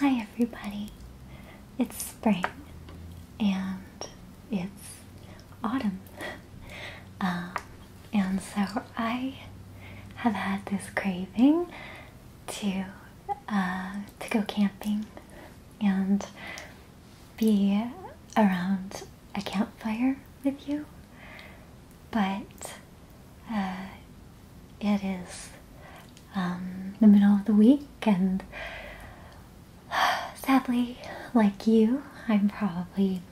Hi, everybody. It's spring and it's autumn. Um, and so I have had this craving to uh, to go camping and be around a campfire with you, but uh, it is um, the middle of the week, and sadly, like you, I'm probably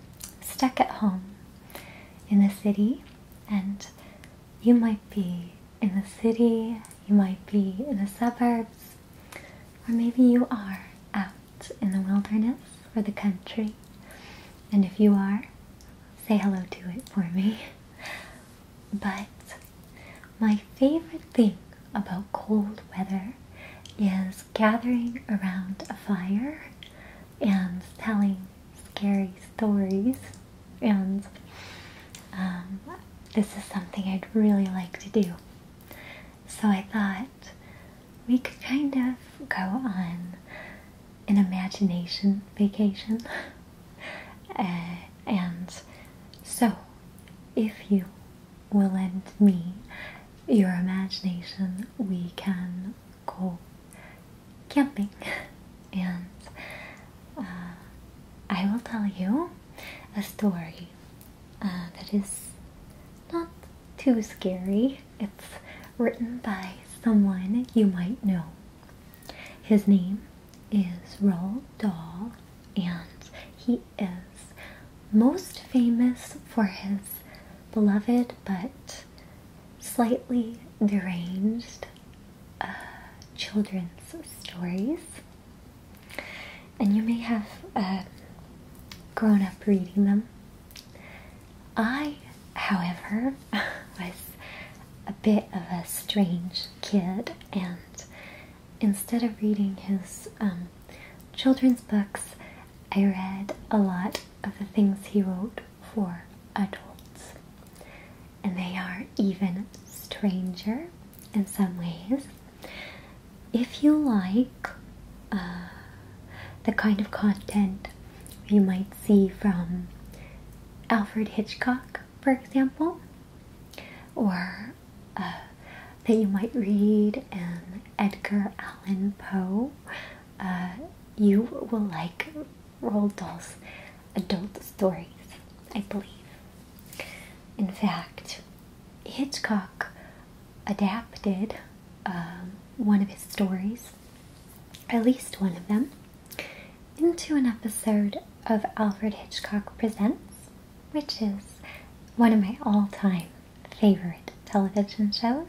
stuck at home in the city, and you might be in the city, you might be in the suburbs, or maybe you are out in the wilderness or the country. And if you are, say hello to it for me. But my favorite thing about cold weather is gathering around a fire and telling scary stories. And um, this is something I'd really like to do. So I thought we could kind of go on an imagination vacation. Uh, and so, if you will lend me your imagination, we can go camping. And uh, I will tell you a story uh, that is not too scary it's written by someone you might know. His name is Roald Dahl, and he is most famous for his beloved but slightly deranged uh, children's stories. And you may have uh, grown up reading them I, however, was a bit of a strange kid, and instead of reading his um, children's books, I read a lot of the things he wrote for adults. And they are even stranger in some ways. If you like, Ah, the kind of content you might see from Alfred Hitchcock, for example, or uh, that you might read in Edgar Allan Poe. Uh, you will like role dolls, adult stories, I believe. In fact, Hitchcock adapted um, one of his stories, at least one of them, into an episode of Alfred Hitchcock Presents, which is one of my all time favorite television shows.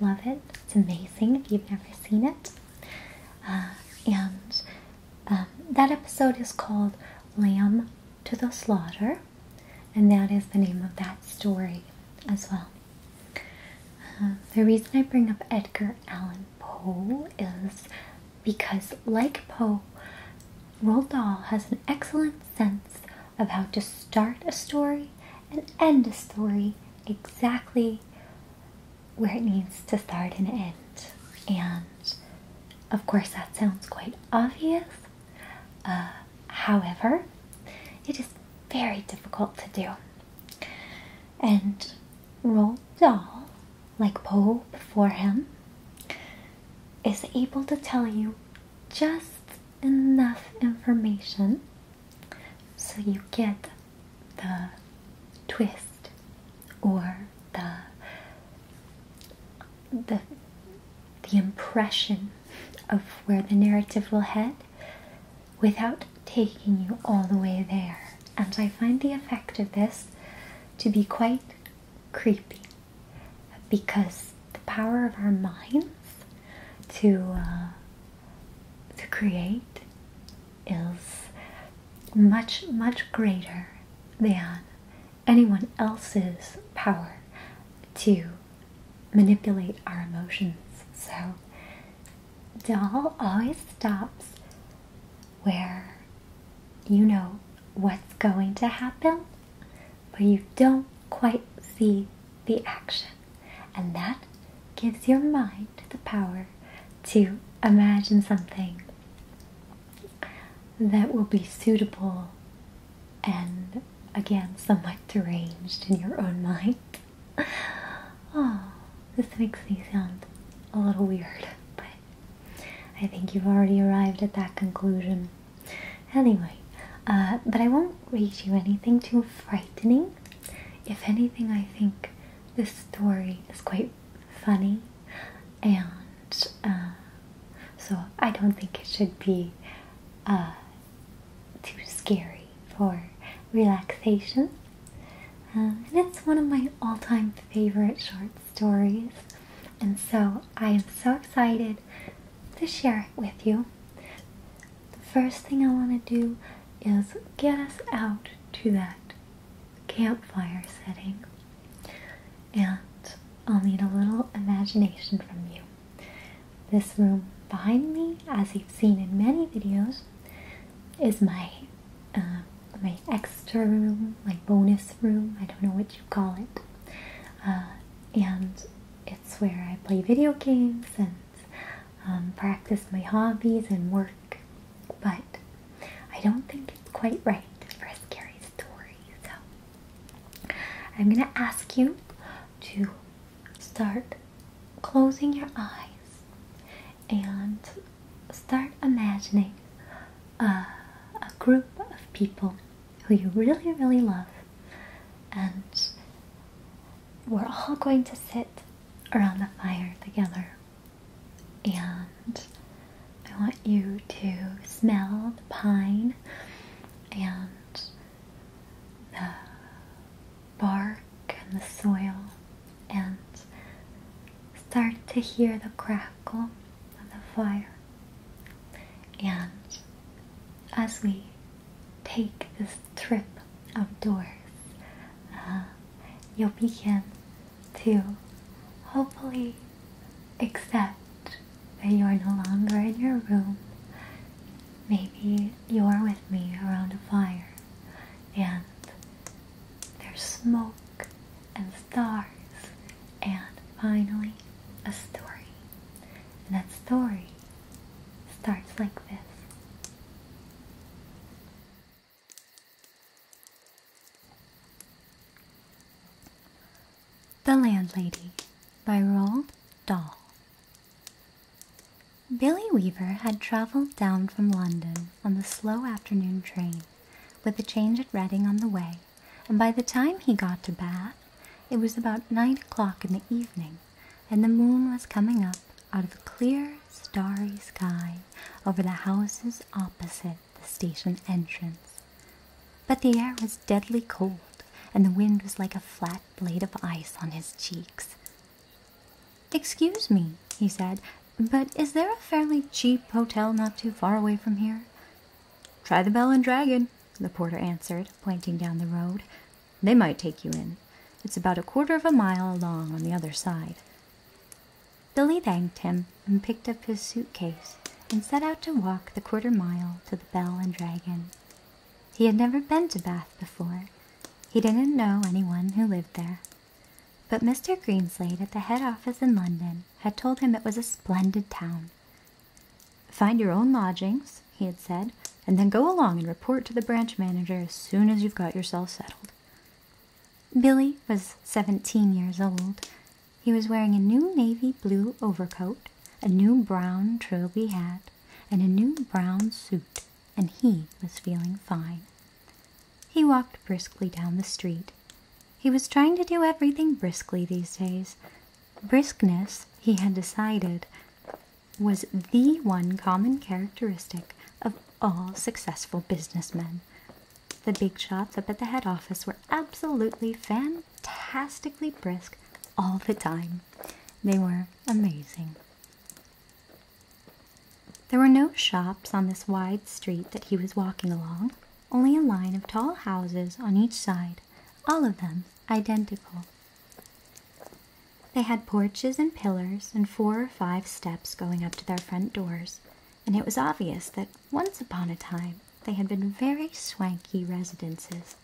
Love it. It's amazing if you've never seen it. Uh, and um, that episode is called Lamb to the Slaughter, and that is the name of that story as well. Uh, the reason I bring up Edgar Allan Poe is because, like Poe, Roald has an excellent sense of how to start a story and end a story exactly where it needs to start and end. And of course, that sounds quite obvious. Uh, however, it is very difficult to do. And Roll Dahl, like Poe before him, is able to tell you just enough information so you get the twist or the the the impression of where the narrative will head without taking you all the way there. And I find the effect of this to be quite creepy because the power of our minds to uh, to create is much much greater than anyone else's power to manipulate our emotions. So, doll always stops where you know what's going to happen, but you don't quite see the action. And that gives your mind the power to imagine something that will be suitable and again somewhat deranged in your own mind. Oh, this makes me sound a little weird, but I think you've already arrived at that conclusion. Anyway, uh, but I won't read you anything too frightening. If anything, I think this story is quite funny, and uh, so I don't think it should be uh, too scary for relaxation. Uh, and it's one of my all time favorite short stories. And so I am so excited to share it with you. The first thing I want to do is get us out to that campfire setting. And I'll need a little imagination from you. This room behind me, as you've seen in many videos, is my uh, my extra room, my bonus room. I don't know what you call it, uh, and it's where I play video games and um, practice my hobbies and work. But I don't think it's quite right for a scary story, so I'm gonna ask you to start closing your eyes and start imagining a, group of people who you really, really love. And we're all going to sit around the fire together. And I want you to smell the pine and the bark and the soil and start to hear the crackle of the fire. And as we take this trip outdoors, uh, you'll begin to hopefully accept that you are no longer in your room. Maybe you're with me around a fire and there's smoke and stars and finally a story. And that story starts like this. The Landlady by Roald Dahl Billy Weaver had travelled down from London on the slow afternoon train, with a change at Reading on the way, and by the time he got to Bath, it was about nine o'clock in the evening, and the moon was coming up out of a clear, starry sky over the houses opposite the station entrance. But the air was deadly cold, and the wind was like a flat blade of ice on his cheeks. Excuse me, he said, but is there a fairly cheap hotel not too far away from here? Try the Bell and Dragon, the porter answered, pointing down the road. They might take you in. It's about a quarter of a mile along on the other side. Billy thanked him and picked up his suitcase and set out to walk the quarter mile to the Bell and Dragon. He had never been to Bath before. He didn't know anyone who lived there. But Mr. Greenslade at the head office in London had told him it was a splendid town. Find your own lodgings, he had said, and then go along and report to the branch manager as soon as you've got yourself settled. Billy was 17 years old. He was wearing a new navy blue overcoat, a new brown trilby hat, and a new brown suit, and he was feeling fine. He walked briskly down the street. He was trying to do everything briskly these days. Briskness, he had decided, was the one common characteristic of all successful businessmen. The big shots up at the head office were absolutely fan fantastically brisk all the time. They were amazing. There were no shops on this wide street that he was walking along, only a line of tall houses on each side, all of them identical. They had porches and pillars and four or five steps going up to their front doors, and it was obvious that once upon a time they had been very swanky residences.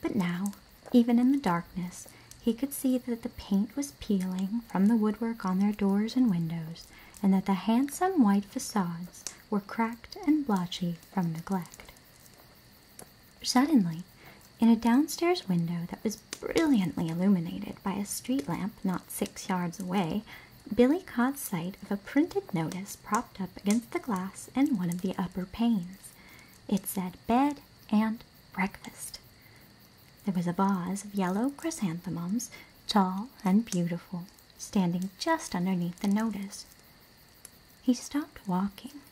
But now, even in the darkness, he could see that the paint was peeling from the woodwork on their doors and windows, and that the handsome white facades were cracked and blotchy from neglect. Suddenly, in a downstairs window that was brilliantly illuminated by a street lamp not six yards away, Billy caught sight of a printed notice propped up against the glass in one of the upper panes. It said bed and breakfast. There was a vase of yellow chrysanthemums, tall and beautiful, standing just underneath the notice. He stopped walking.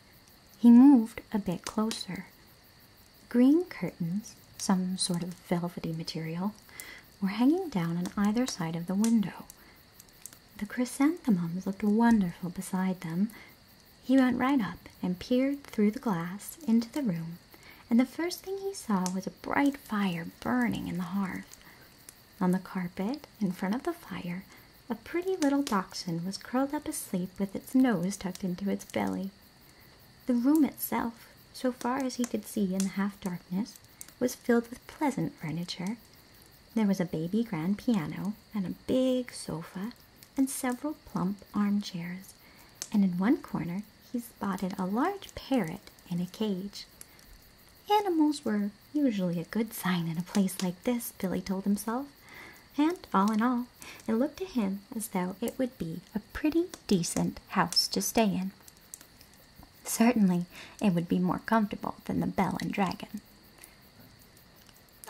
He moved a bit closer. Green curtains, some sort of velvety material, were hanging down on either side of the window, the chrysanthemums looked wonderful beside them. He went right up and peered through the glass into the room, and the first thing he saw was a bright fire burning in the hearth. On the carpet, in front of the fire, a pretty little dachshund was curled up asleep with its nose tucked into its belly. The room itself, so far as he could see in the half darkness, was filled with pleasant furniture. There was a baby grand piano, and a big sofa and several plump armchairs, and in one corner he spotted a large parrot in a cage. Animals were usually a good sign in a place like this, Billy told himself, and all in all, it looked to him as though it would be a pretty decent house to stay in. Certainly, it would be more comfortable than the Bell and Dragon.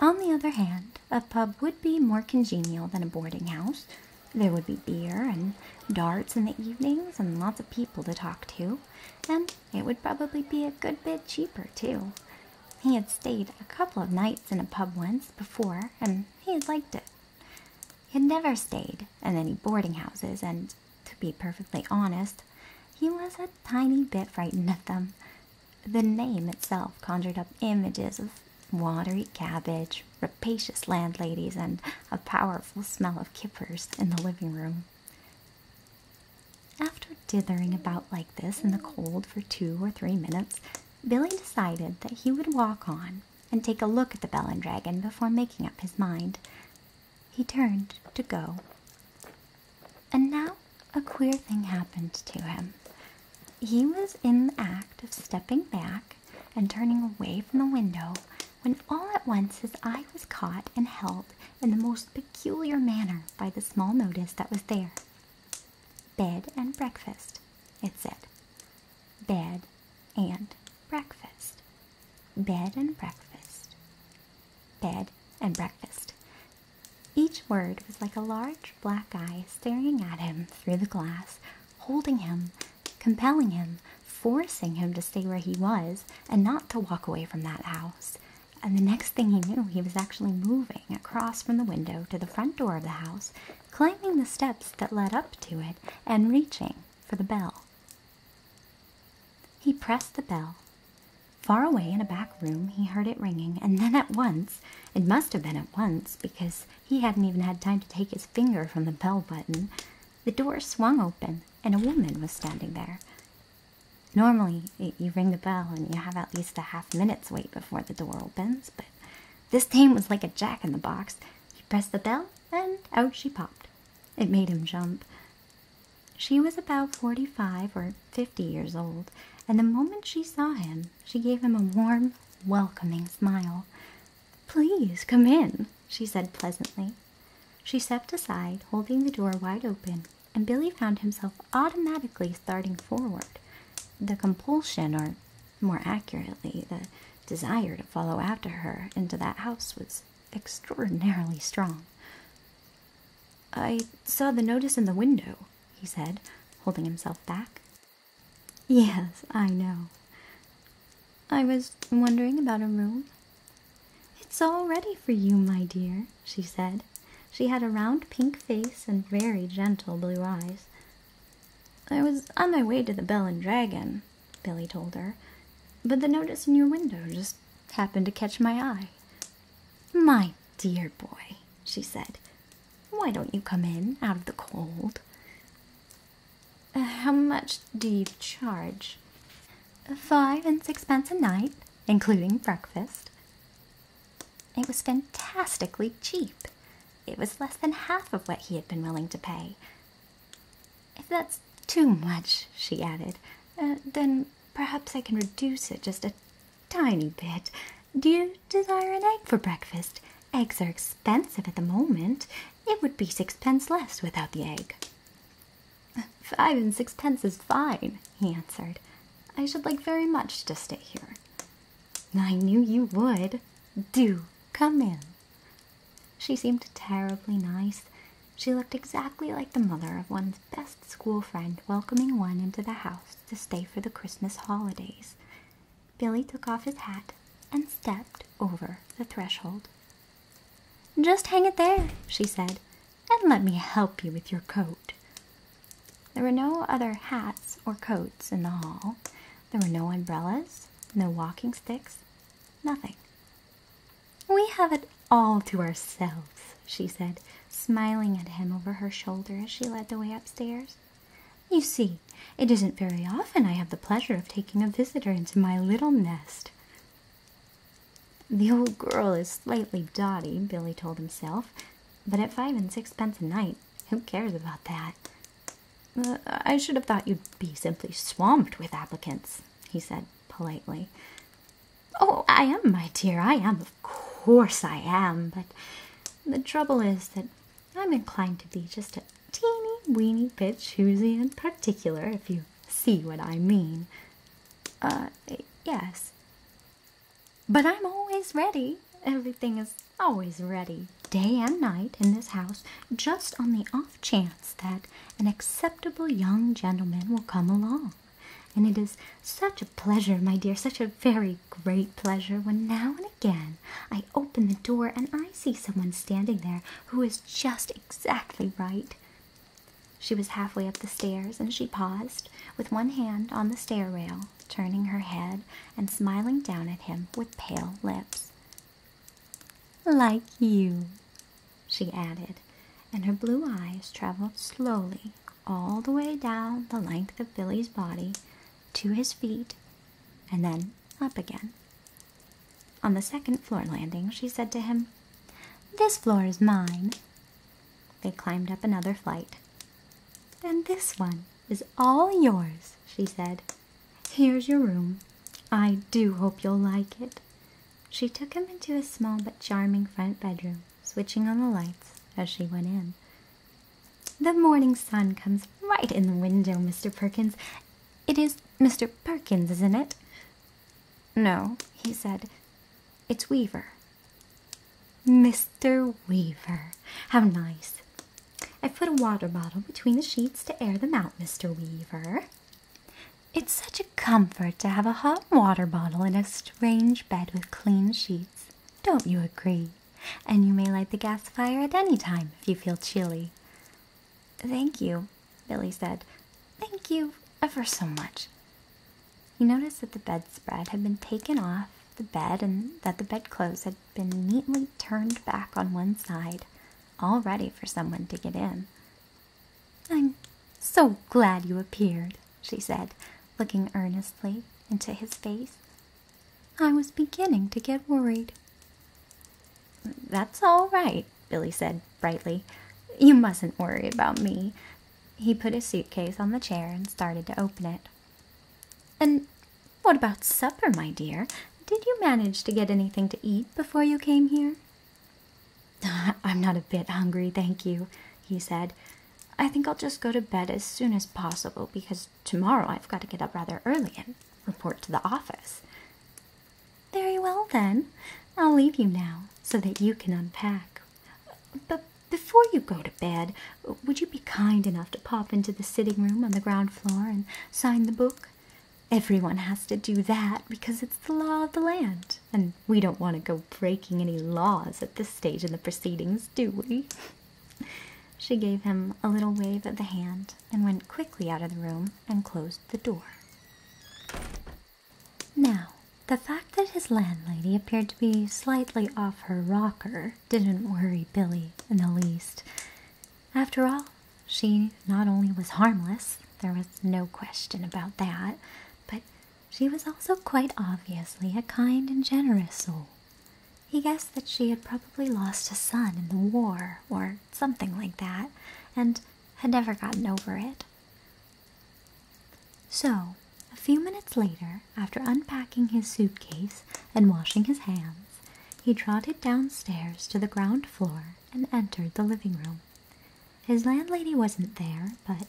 On the other hand, a pub would be more congenial than a boarding house. There would be beer and darts in the evenings and lots of people to talk to, and it would probably be a good bit cheaper, too. He had stayed a couple of nights in a pub once before, and he had liked it. He had never stayed in any boarding houses, and to be perfectly honest, he was a tiny bit frightened of them. The name itself conjured up images of watery cabbage, rapacious landladies, and a powerful smell of kippers in the living room. After dithering about like this in the cold for two or three minutes, Billy decided that he would walk on and take a look at the Bell and Dragon before making up his mind. He turned to go. And now a queer thing happened to him. He was in the act of stepping back and turning away from the window when all at once his eye was caught and held in the most peculiar manner by the small notice that was there. Bed and breakfast, it said. Bed and breakfast. Bed and breakfast. Bed and breakfast. Each word was like a large black eye staring at him through the glass, holding him, compelling him, forcing him to stay where he was and not to walk away from that house. And the next thing he knew, he was actually moving across from the window to the front door of the house, climbing the steps that led up to it, and reaching for the bell. He pressed the bell. Far away in a back room, he heard it ringing, and then at once, it must have been at once, because he hadn't even had time to take his finger from the bell button, the door swung open and a woman was standing there. Normally, you ring the bell and you have at least a half minute's wait before the door opens, but this dame was like a jack in the box. He pressed the bell and out she popped. It made him jump. She was about forty five or fifty years old, and the moment she saw him, she gave him a warm, welcoming smile. Please come in, she said pleasantly. She stepped aside, holding the door wide open, and Billy found himself automatically starting forward. The compulsion, or more accurately, the desire to follow after her into that house was extraordinarily strong. I saw the notice in the window, he said, holding himself back. Yes, I know. I was wondering about a room. It's all ready for you, my dear, she said. She had a round pink face and very gentle blue eyes. I was on my way to the Bell and Dragon, Billy told her, but the notice in your window just happened to catch my eye. My dear boy, she said, why don't you come in out of the cold? Uh, how much do you charge? Five and sixpence a night, including breakfast. It was fantastically cheap. It was less than half of what he had been willing to pay. If that's too much, she added, uh, then perhaps I can reduce it just a tiny bit. Do you desire an egg for breakfast? Eggs are expensive at the moment. It would be sixpence less without the egg. Five and sixpence is fine, he answered. I should like very much to stay here. I knew you would. Do come in. She seemed terribly nice. She looked exactly like the mother of one best school friend welcoming one into the house to stay for the Christmas holidays. Billy took off his hat and stepped over the threshold. Just hang it there, she said, and let me help you with your coat. There were no other hats or coats in the hall. There were no umbrellas, no walking sticks, nothing. We have it all to ourselves, she said, smiling at him over her shoulder as she led the way upstairs. You see, it isn't very often I have the pleasure of taking a visitor into my little nest. The old girl is slightly dotty, Billy told himself, but at five and sixpence a night, who cares about that? Uh, I should have thought you'd be simply swamped with applicants, he said politely. Oh, I am, my dear, I am, of course I am, but the trouble is that I'm inclined to be just a teeny weeny bit choosy in particular, if you see what I mean. Uh, yes. But I'm always ready. Everything is always ready, day and night, in this house, just on the off chance that an acceptable young gentleman will come along. And it is such a pleasure, my dear, such a very great pleasure when now and again I open the door and I see someone standing there who is just exactly right. She was halfway up the stairs and she paused with one hand on the stair rail, turning her head and smiling down at him with pale lips. Like you, she added, and her blue eyes traveled slowly all the way down the length of Billy's body to his feet and then up again. On the second floor landing, she said to him, This floor is mine. They climbed up another flight. And this one is all yours, she said. Here's your room. I do hope you'll like it. She took him into a small but charming front bedroom, switching on the lights as she went in. The morning sun comes right in the window, Mr. Perkins. It is Mr. Perkins, isn't it? No, he said. It's Weaver. Mr. Weaver. How nice. I put a water bottle between the sheets to air them out, Mr. Weaver, it's such a comfort to have a hot water bottle in a strange bed with clean sheets. Don't you agree? And you may light the gas fire at any time if you feel chilly. Thank you, Billy said. Thank you ever so much. He noticed that the bedspread had been taken off the bed and that the bedclothes had been neatly turned back on one side, all ready for someone to get in. I'm so glad you appeared, she said, looking earnestly into his face. I was beginning to get worried. That's all right, Billy said brightly. You mustn't worry about me. He put his suitcase on the chair and started to open it. And what about supper, my dear? Did you manage to get anything to eat before you came here? I'm not a bit hungry, thank you, he said. I think I'll just go to bed as soon as possible because tomorrow I've got to get up rather early and report to the office. Very well, then. I'll leave you now so that you can unpack. But before you go to bed, would you be kind enough to pop into the sitting room on the ground floor and sign the book? Everyone has to do that because it's the law of the land and we don't want to go breaking any laws at this stage in the proceedings, do we? She gave him a little wave of the hand and went quickly out of the room and closed the door. Now, the fact that his landlady appeared to be slightly off her rocker didn't worry Billy in the least. After all, she not only was harmless, there was no question about that, but she was also quite obviously a kind and generous soul. He guessed that she had probably lost a son in the war or something like that and had never gotten over it. So, a few minutes later, after unpacking his suitcase and washing his hands, he trotted downstairs to the ground floor and entered the living room. His landlady wasn't there, but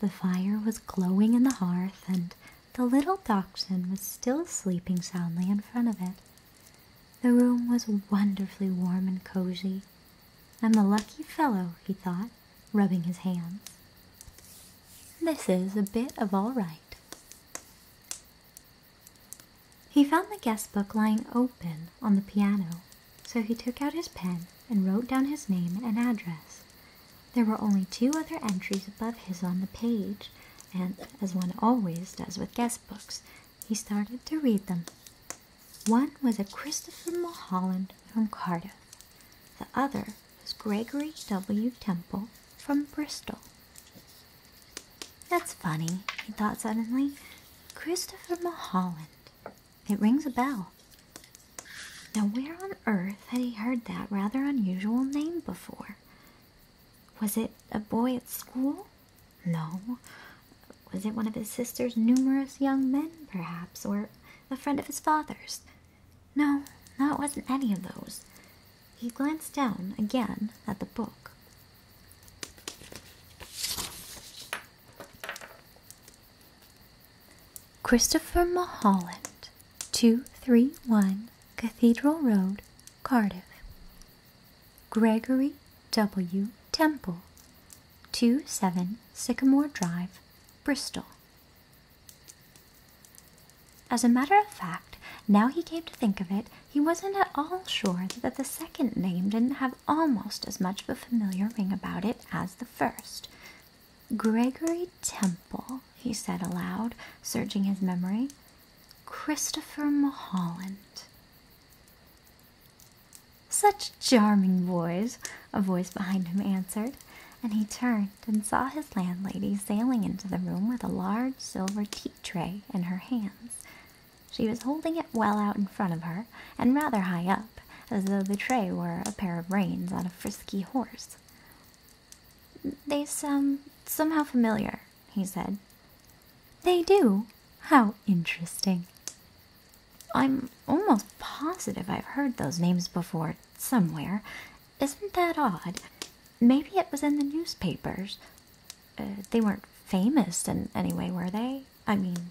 the fire was glowing in the hearth, and the little dachshund was still sleeping soundly in front of it. The room was wonderfully warm and cozy. I'm a lucky fellow, he thought, rubbing his hands. This is a bit of all right. He found the guest book lying open on the piano so he took out his pen and wrote down his name and address. There were only two other entries above his on the page, and as one always does with guest books, he started to read them. One was a Christopher Mulholland from Cardiff. The other was Gregory W. Temple from Bristol. That's funny, he thought suddenly. Christopher Mulholland. It rings a bell. Now, where on earth had he heard that rather unusual name before? Was it a boy at school? No. Was it one of his sister's numerous young men, perhaps, or a friend of his father's? No, no, it wasn't any of those. He glanced down again at the book. Christopher Mulholland, 231 Cathedral Road, Cardiff. Gregory W. Temple, 27 Sycamore Drive, Bristol. As a matter of fact, now he came to think of it, he wasn't at all sure that the second name didn't have almost as much of a familiar ring about it as the first. Gregory Temple, he said aloud, searching his memory. Christopher Mulholland. Such charming boys, a voice behind him answered, and he turned and saw his landlady sailing into the room with a large silver tea tray in her hands. She was holding it well out in front of her and rather high up, as though the tray were a pair of reins on a frisky horse. They sound somehow familiar, he said. They do? How interesting. I'm almost positive I've heard those names before somewhere. Isn't that odd? Maybe it was in the newspapers. Uh, they weren't famous in any way, were they? I mean,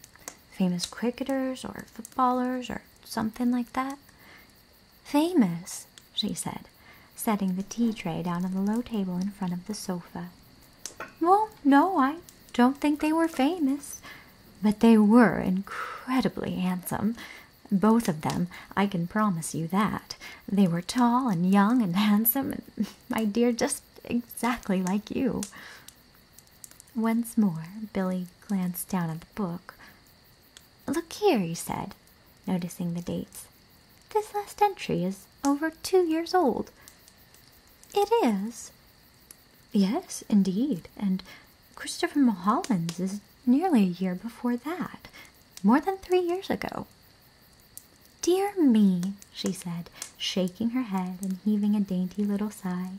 famous cricketers or footballers or something like that? Famous, she said, setting the tea tray down on the low table in front of the sofa. Well, no, I don't think they were famous, but they were incredibly handsome. Both of them, I can promise you that. They were tall and young and handsome, and my dear, just exactly like you. Once more, Billy glanced down at the book. Look here, he said, noticing the dates. This last entry is over two years old. It is? Yes, indeed, and Christopher Mulholland's is nearly a year before that, more than three years ago. Dear me, she said, shaking her head and heaving a dainty little sigh.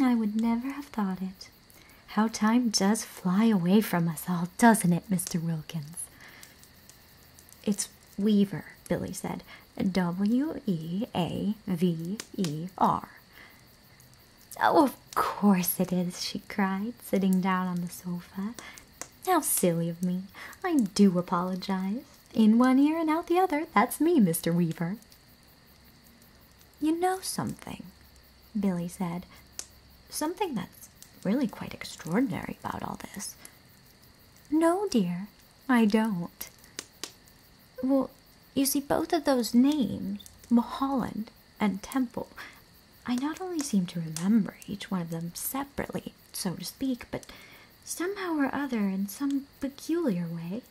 I would never have thought it. How time does fly away from us all, doesn't it, Mr. Wilkins? It's Weaver, Billy said. "W-e-a-v-e-r." Oh, of course it is, she cried, sitting down on the sofa. How silly of me. I do apologize. In one ear and out the other. That's me, Mr. Weaver. You know something, Billy said. Something that's really quite extraordinary about all this. No, dear, I don't. Well, you see, both of those names, Mulholland and Temple, I not only seem to remember each one of them separately, so to speak, but Somehow or other, in some peculiar way,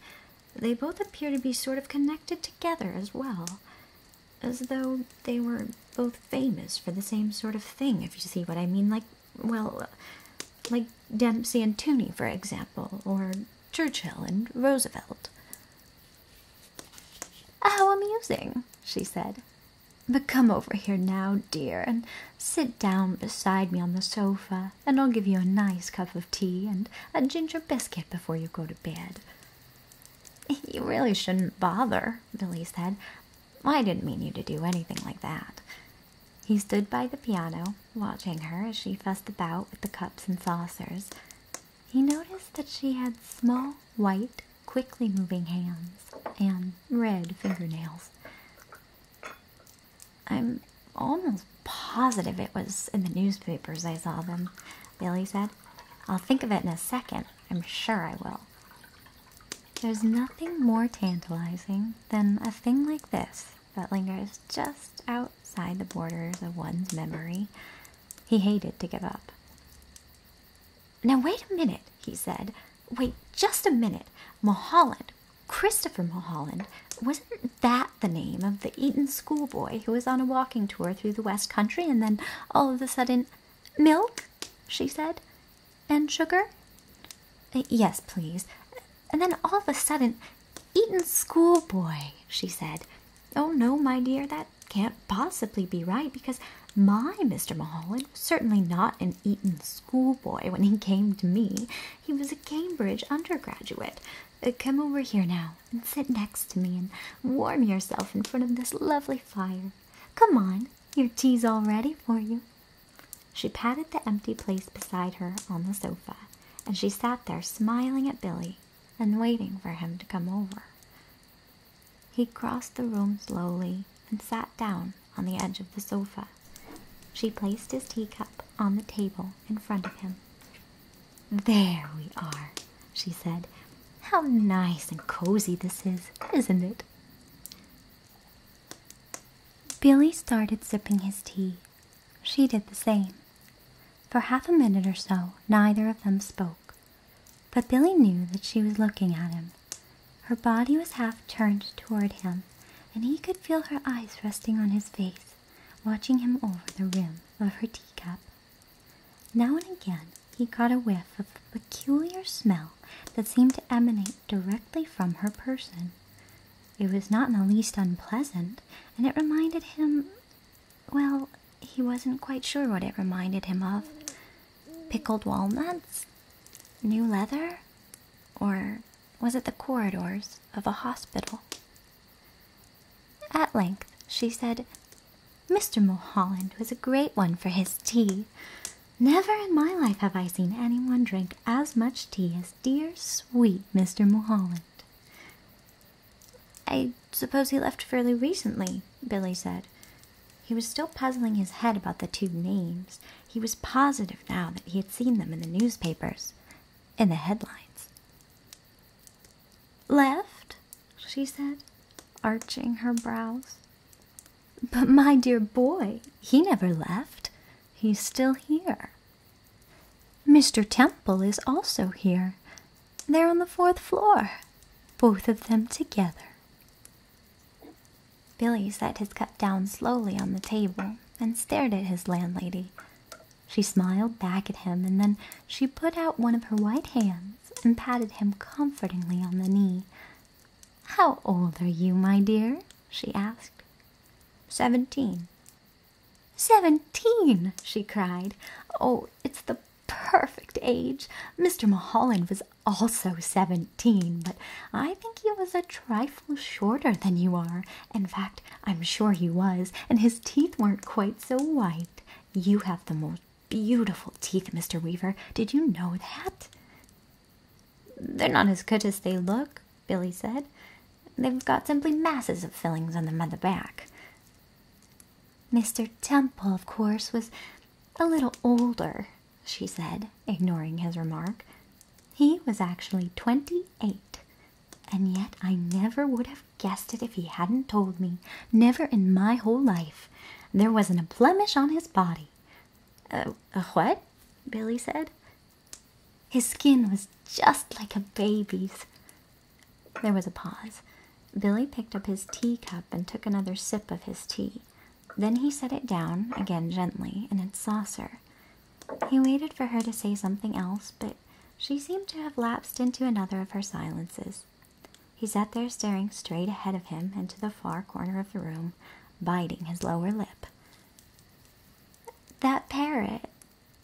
they both appear to be sort of connected together as well, as though they were both famous for the same sort of thing, if you see what I mean. Like, well, like Dempsey and Tunney, for example, or Churchill and Roosevelt. How amusing, she said. But come over here now, dear, and Sit down beside me on the sofa, and I'll give you a nice cup of tea and a ginger biscuit before you go to bed. You really shouldn't bother, Billy said. I didn't mean you to do anything like that. He stood by the piano, watching her as she fussed about with the cups and saucers. He noticed that she had small, white, quickly moving hands and red fingernails. I'm almost positive it was in the newspapers I saw them, Billy said. I'll think of it in a second. I'm sure I will. There's nothing more tantalizing than a thing like this that lingers just outside the borders of one's memory. He hated to give up. Now, wait a minute, he said. Wait just a minute. Mulholland, Christopher Mulholland, wasn't that the name of the Eton schoolboy who was on a walking tour through the West Country and then all of a sudden, milk, she said, and sugar? Yes, please. And then all of a sudden, Eton schoolboy, she said. Oh, no, my dear, that can't possibly be right because my Mr. Mulholland was certainly not an Eton schoolboy when he came to me. He was a Cambridge undergraduate. Uh, come over here now and sit next to me and warm yourself in front of this lovely fire. Come on, your tea's all ready for you. She patted the empty place beside her on the sofa, and she sat there smiling at Billy and waiting for him to come over. He crossed the room slowly and sat down on the edge of the sofa. She placed his teacup on the table in front of him. There we are, she said. How nice and cozy this is, isn't it? Billy started sipping his tea. She did the same. For half a minute or so, neither of them spoke. But Billy knew that she was looking at him. Her body was half turned toward him, and he could feel her eyes resting on his face, watching him over the rim of her teacup. Now and again he caught a whiff of a peculiar smell that seemed to emanate directly from her person. It was not in the least unpleasant, and it reminded him well, he wasn't quite sure what it reminded him of. Pickled walnuts? New leather? Or was it the corridors of a hospital. At length she said, Mr. Mulholland was a great one for his tea. Never in my life have I seen anyone drink as much tea as dear, sweet Mr. Mulholland. I suppose he left fairly recently, Billy said. He was still puzzling his head about the two names, he was positive now that he had seen them in the newspapers, in the headlines. Left? she said, arching her brows. But my dear boy, he never left. He's still here. Mr. Temple is also here. They're on the fourth floor, both of them together. Billy set his cup down slowly on the table and stared at his landlady. She smiled back at him, and then she put out one of her white hands and patted him comfortingly on the knee. How old are you, my dear? she asked. "Seventeen." "Seventeen!" she cried. Oh, it's the perfect age. Mr. Mulholland was also seventeen but I think he was a trifle shorter than you are. In fact, I'm sure he was, and his teeth weren't quite so white. You have the most beautiful teeth, Mr. Weaver. Did you know that? They're not as good as they look, Billy said. They've got simply masses of fillings on them on the back. Mr. Temple, of course, was a little older, she said, ignoring his remark. He was actually 28, and yet I never would have guessed it if he hadn't told me. Never in my whole life. There wasn't a blemish on his body. Uh, what? Billy said. His skin was just like a baby's. There was a pause. Billy picked up his tea cup and took another sip of his tea. Then he set it down, again gently, in its saucer. He waited for her to say something else, but she seemed to have lapsed into another of her silences. He sat there staring straight ahead of him into the far corner of the room, biting his lower lip. That parrot,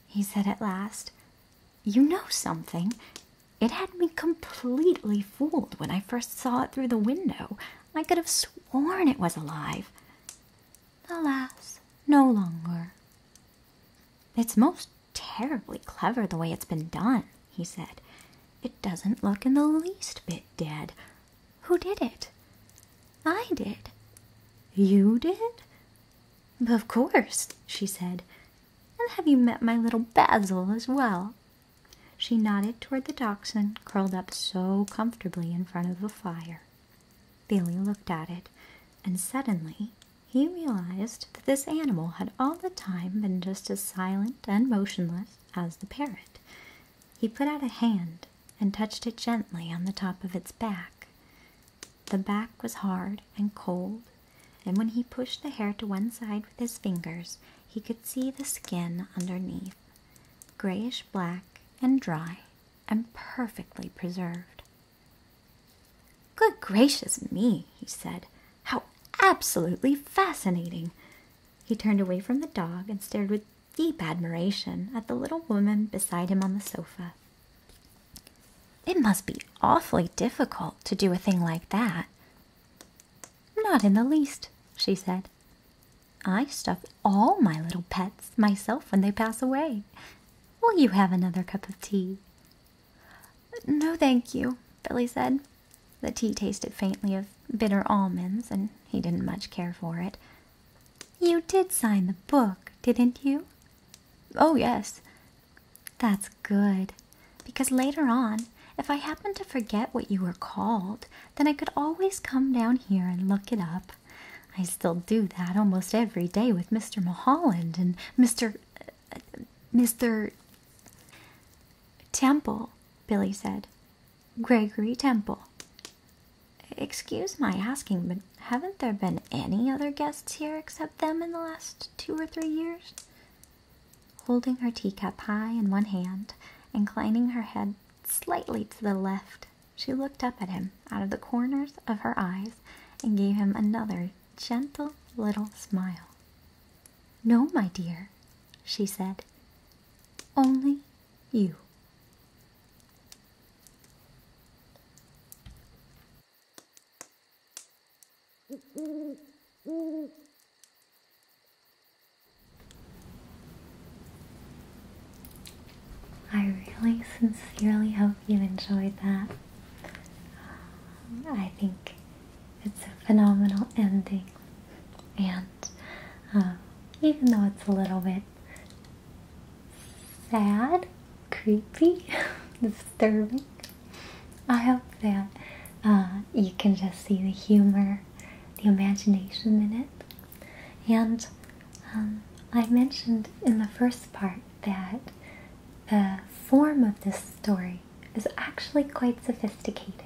he said at last, you know something. It had me completely fooled when I first saw it through the window. I could have sworn it was alive alas, no longer. It's most terribly clever the way it's been done, he said. It doesn't look in the least bit dead. Who did it? I did. You did? Of course, she said. And have you met my little Basil as well? She nodded toward the dachshund curled up so comfortably in front of the fire. Billy looked at it, and suddenly he realized that this animal had all the time been just as silent and motionless as the parrot. He put out a hand and touched it gently on the top of its back. The back was hard and cold, and when he pushed the hair to one side with his fingers, he could see the skin underneath, grayish black and dry and perfectly preserved. Good gracious me, he said. How absolutely fascinating! He turned away from the dog and stared with deep admiration at the little woman beside him on the sofa. It must be awfully difficult to do a thing like that. Not in the least, she said. I stuff all my little pets myself when they pass away. Will you have another cup of tea? No, thank you, Billy said. The tea tasted faintly of bitter almonds, and he didn't much care for it. You did sign the book, didn't you? Oh, yes. That's good, because later on, if I happened to forget what you were called, then I could always come down here and look it up. I still do that almost every day with Mr. Mulholland and Mr. Uh, Mr. Temple, Billy said. Gregory Temple. Excuse my asking, but haven't there been any other guests here except them in the last two or three years? Holding her teacup high in one hand, inclining her head slightly to the left she looked up at him out of the corners of her eyes and gave him another gentle little smile. No, my dear, she said. Only you. I really sincerely hope you enjoyed that. Um, I think it's a phenomenal ending, and um, even though it's a little bit sad, creepy, disturbing, I hope that uh, you can just see the humor, the imagination in it, and um, I mentioned in the first part that the form of this story is actually quite sophisticated.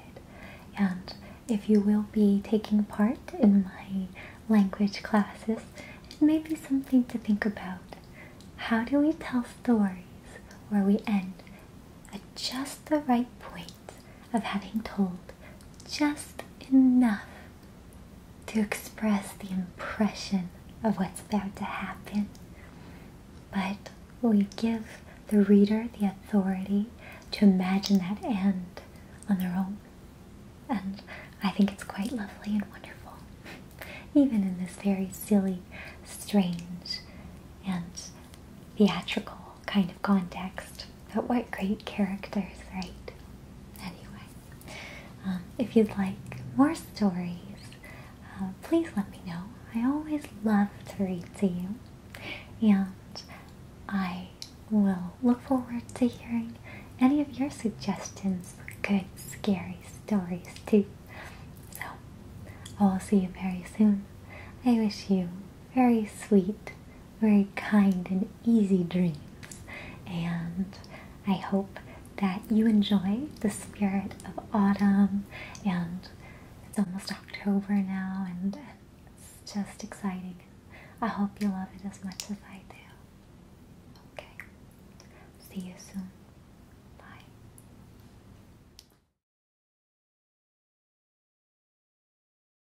And if you will be taking part in my language classes, it may be something to think about. How do we tell stories where we end at just the right point of having told just enough to express the impression of what's about to happen. But we give the reader the authority to imagine that end on their own. And I think it's quite lovely and wonderful, even in this very silly, strange, and theatrical kind of context. But what great characters, right? Anyway, um, if you'd like more stories, uh, please let me know. I always love to read to you, and I will look forward to hearing any of your suggestions for good, scary stories, too. So, I will see you very soon. I wish you very sweet very kind and easy dreams. And I hope that you enjoy the spirit of autumn. And it's almost October now, and it's just exciting. I hope you love it as much as I do. Okay. See you soon.